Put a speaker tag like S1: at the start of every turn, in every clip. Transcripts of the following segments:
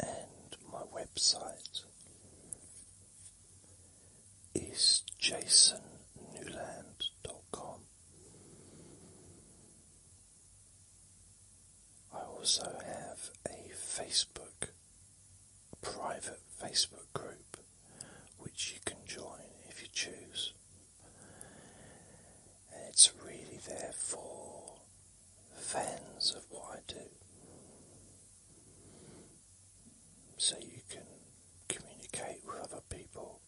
S1: and my website is jasonnewland.com. I also have a Facebook, private Facebook group, which you can join if you choose and it's really there for fans of what I do. So you can communicate with other people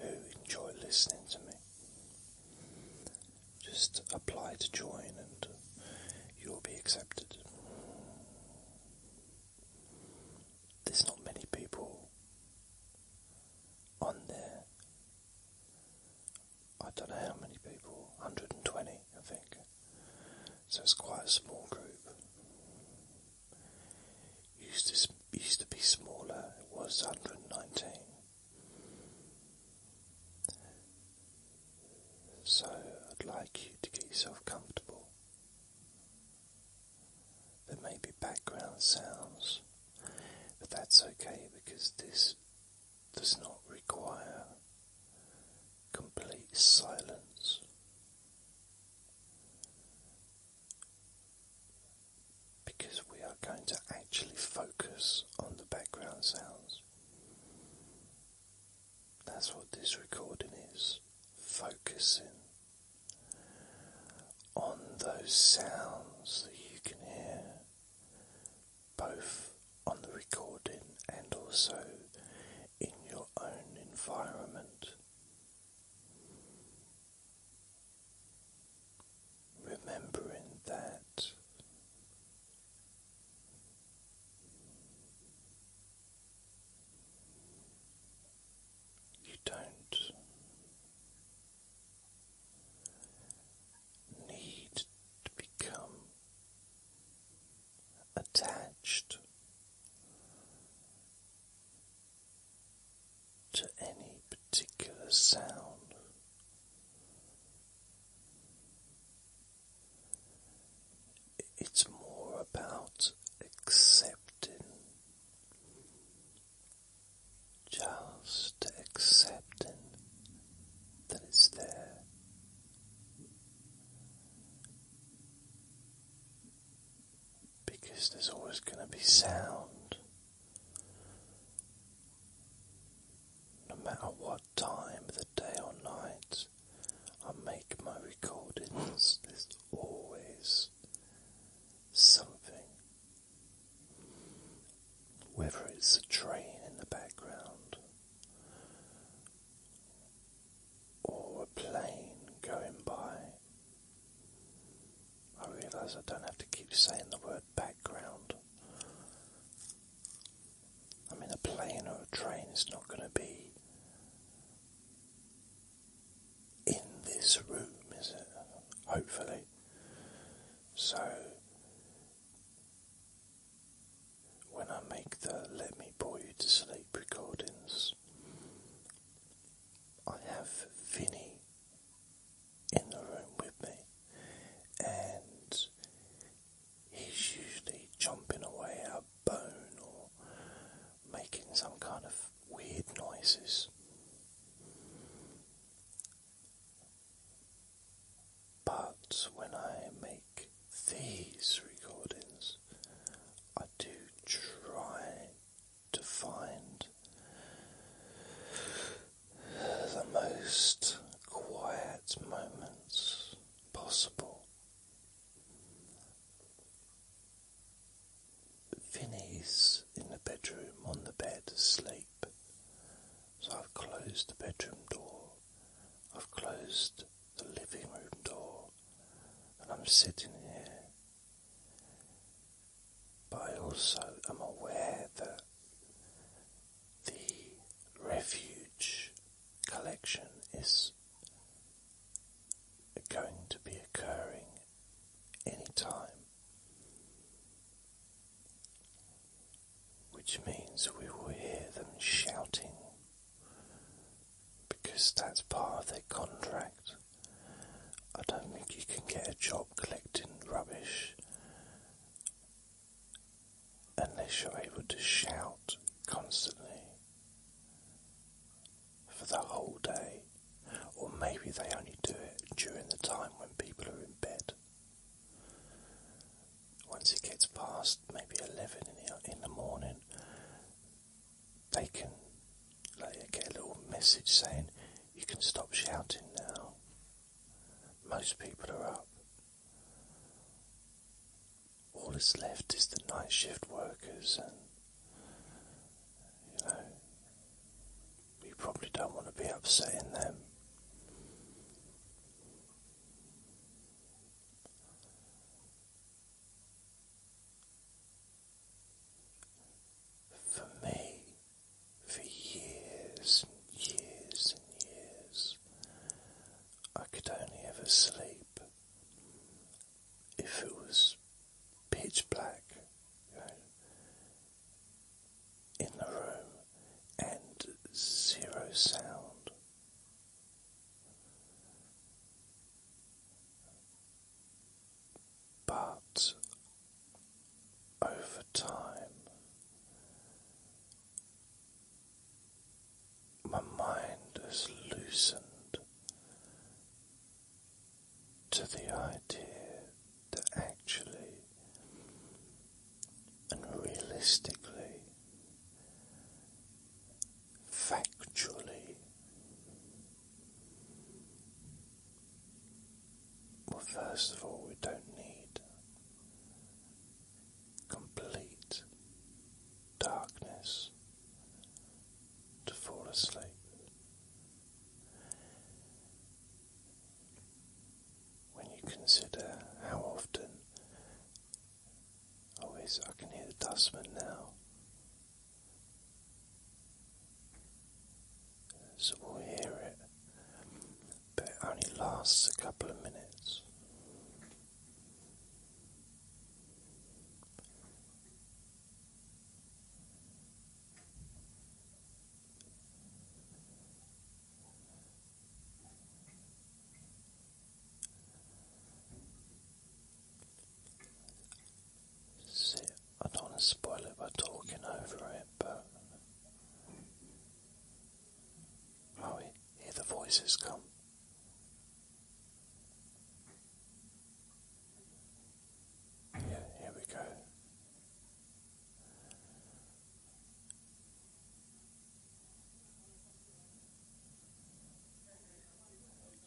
S1: who enjoy listening to me. Just apply to join and you'll be accepted. There's not many people on there. I don't know how many people, 120 I think. So it's quite a small group. used to, used to be smaller, it was 119. So I'd like you to get yourself comfortable. There may be background sounds, but that's okay because this does not require complete silence. Because we are going to actually focus on the background sounds. That's what this recording is focusing on those sounds that you can hear, both on the recording and also in your own environment. Remembering that. You don't need to become attached to any particular sound. It's more about accepting just accepting that it's there. Because there's always going to be sound, no matter what time of day or night I make my recordings. There's always something. Whether it's a train in the background or a plane going by. I realise I don't have to keep saying the word background. I mean, a plane or a train is not going to be in this room, is it? Hopefully. So, when I make the Let Me Bore You to Sleep recordings, I have Finny in the room with me, and he's usually jumping away up bone or making some kind of weird noises. But when I make these recordings, I do try to find the most quiet moments possible. Vinny's in the bedroom on the bed asleep. So I've closed the bedroom door, I've closed the living room door, and I'm sitting here. But I also am aware that the refuge collection is are going to be occurring anytime, which means we will hear them shouting because that's part of their contract. I don't think you can get a job collecting rubbish unless you're able to shout constantly for the whole day, or maybe they only do it during the time when people are in bed. Once it gets past maybe 11 in the, morning, they can get a little message saying, You can stop shouting now. Most people are up all that's left is the night shift workers, and you know, we probably don't want to be upsetting them. For me, for years and years and years, I could only ever sleep if it was pitch black you know, in the room and zero sound. But over time, my mind is loosened to the idea that actually and realistically, factually, well, first of all, we don't need complete darkness to fall asleep. When you consider how often, oh, I can hear the dustman now. So we'll hear it, but it only lasts a couple of minutes. I don't want to spoil it by talking over it, but oh, hear the voices come. Yeah, here we go.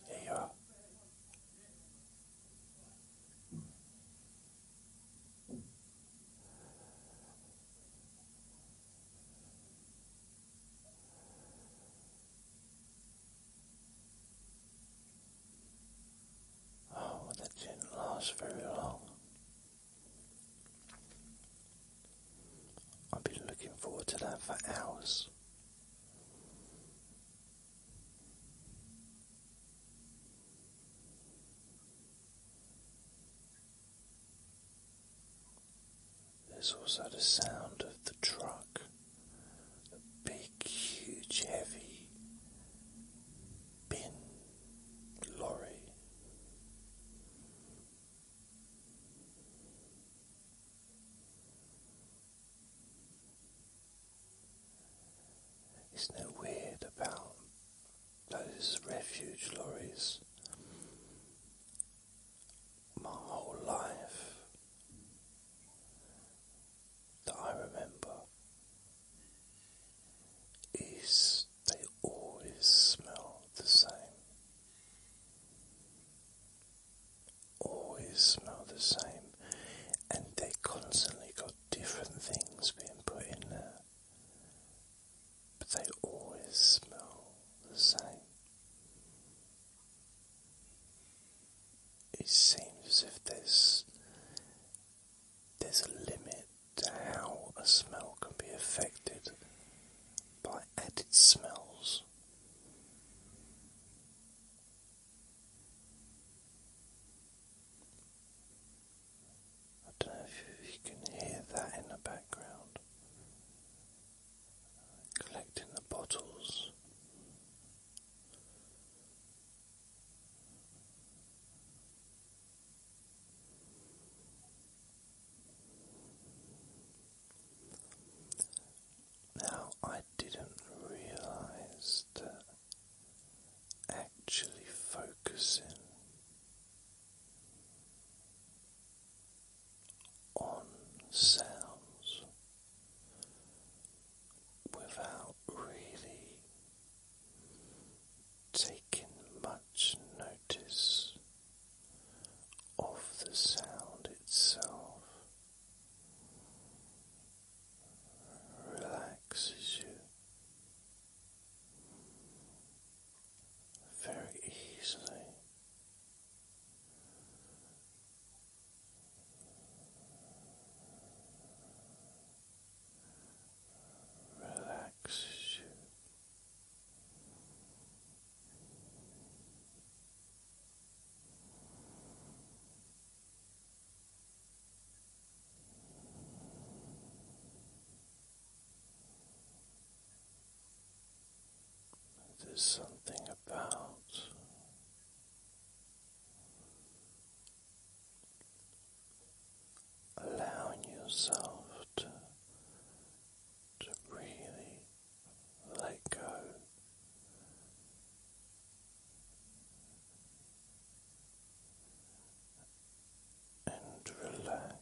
S1: There you are. Oh, that didn't last very long. I've been looking forward to that for hours. There's also the sound of the truck, the big, huge, heavy bin lorry. Isn't it weird about those refuge lorries? my whole life that I remember is they always smell the same. Always smell the same, and they constantly got different things being put in there but they always smell the same. It seems as if there's there's a limit to how a smell can be affected by added smells. I don't know if you can hear that in the background collecting the bottles. Now, I didn't realize that actually focusing on sounds without really taking much notice of the sound itself relaxes you very easily relaxes you. Relaxes you. There's something about allowing yourself to, to really let go. And relax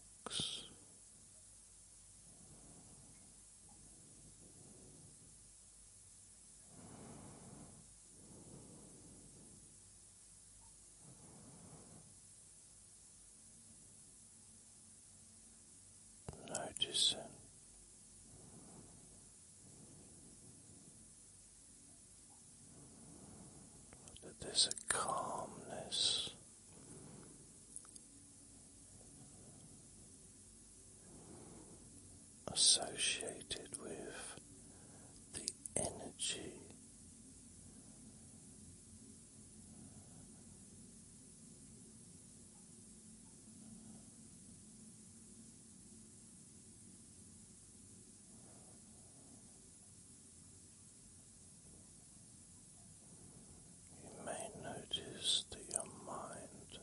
S1: Noticing that there's a calmness associated with the energy you may notice that your mind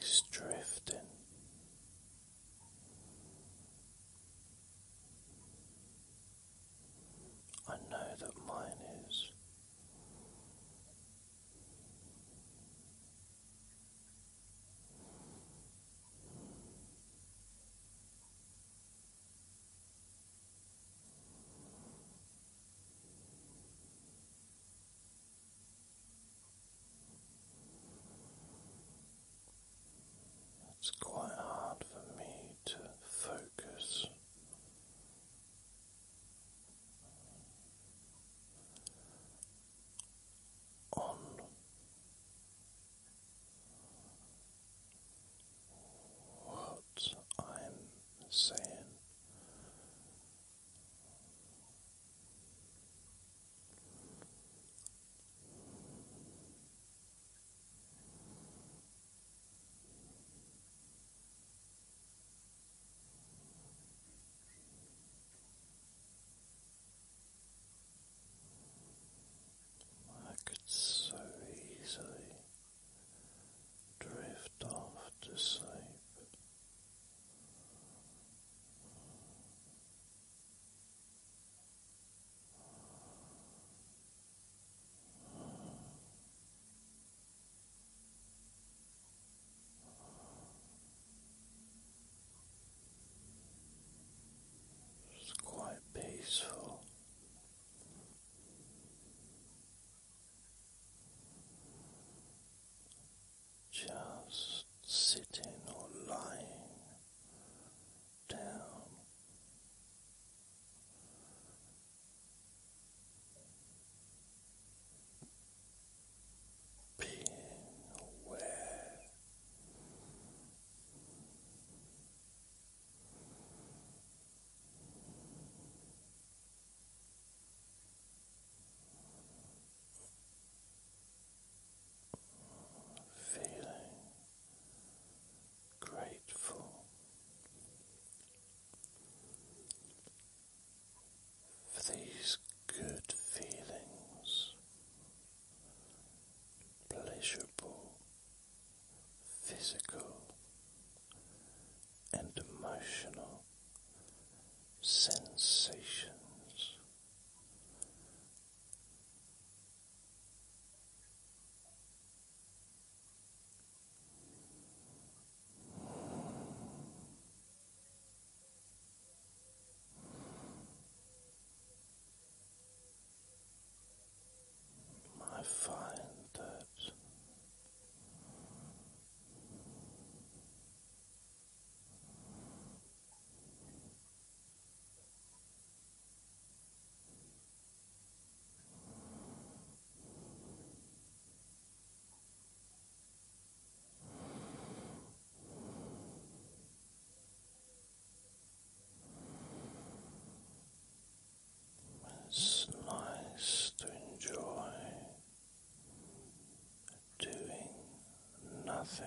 S1: is drifting. I know that mine is. It's quite hard for me to focus. On what I'm saying. Good. I could so easily drift off to sleep. It's quite peaceful. Just sitting or lying down. Being aware Feeling grateful for these good feelings pleasurable physical and emotional sensations. I find that. It's nice to enjoy doing nothing.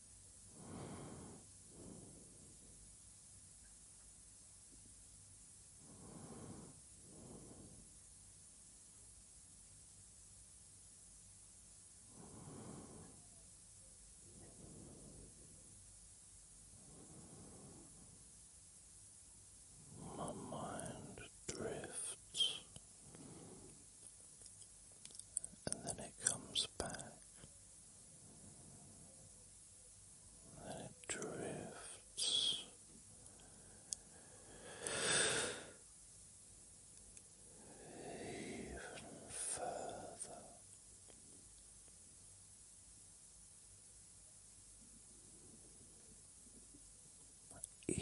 S1: My mind drifts and then it comes back and it drifts even further. Even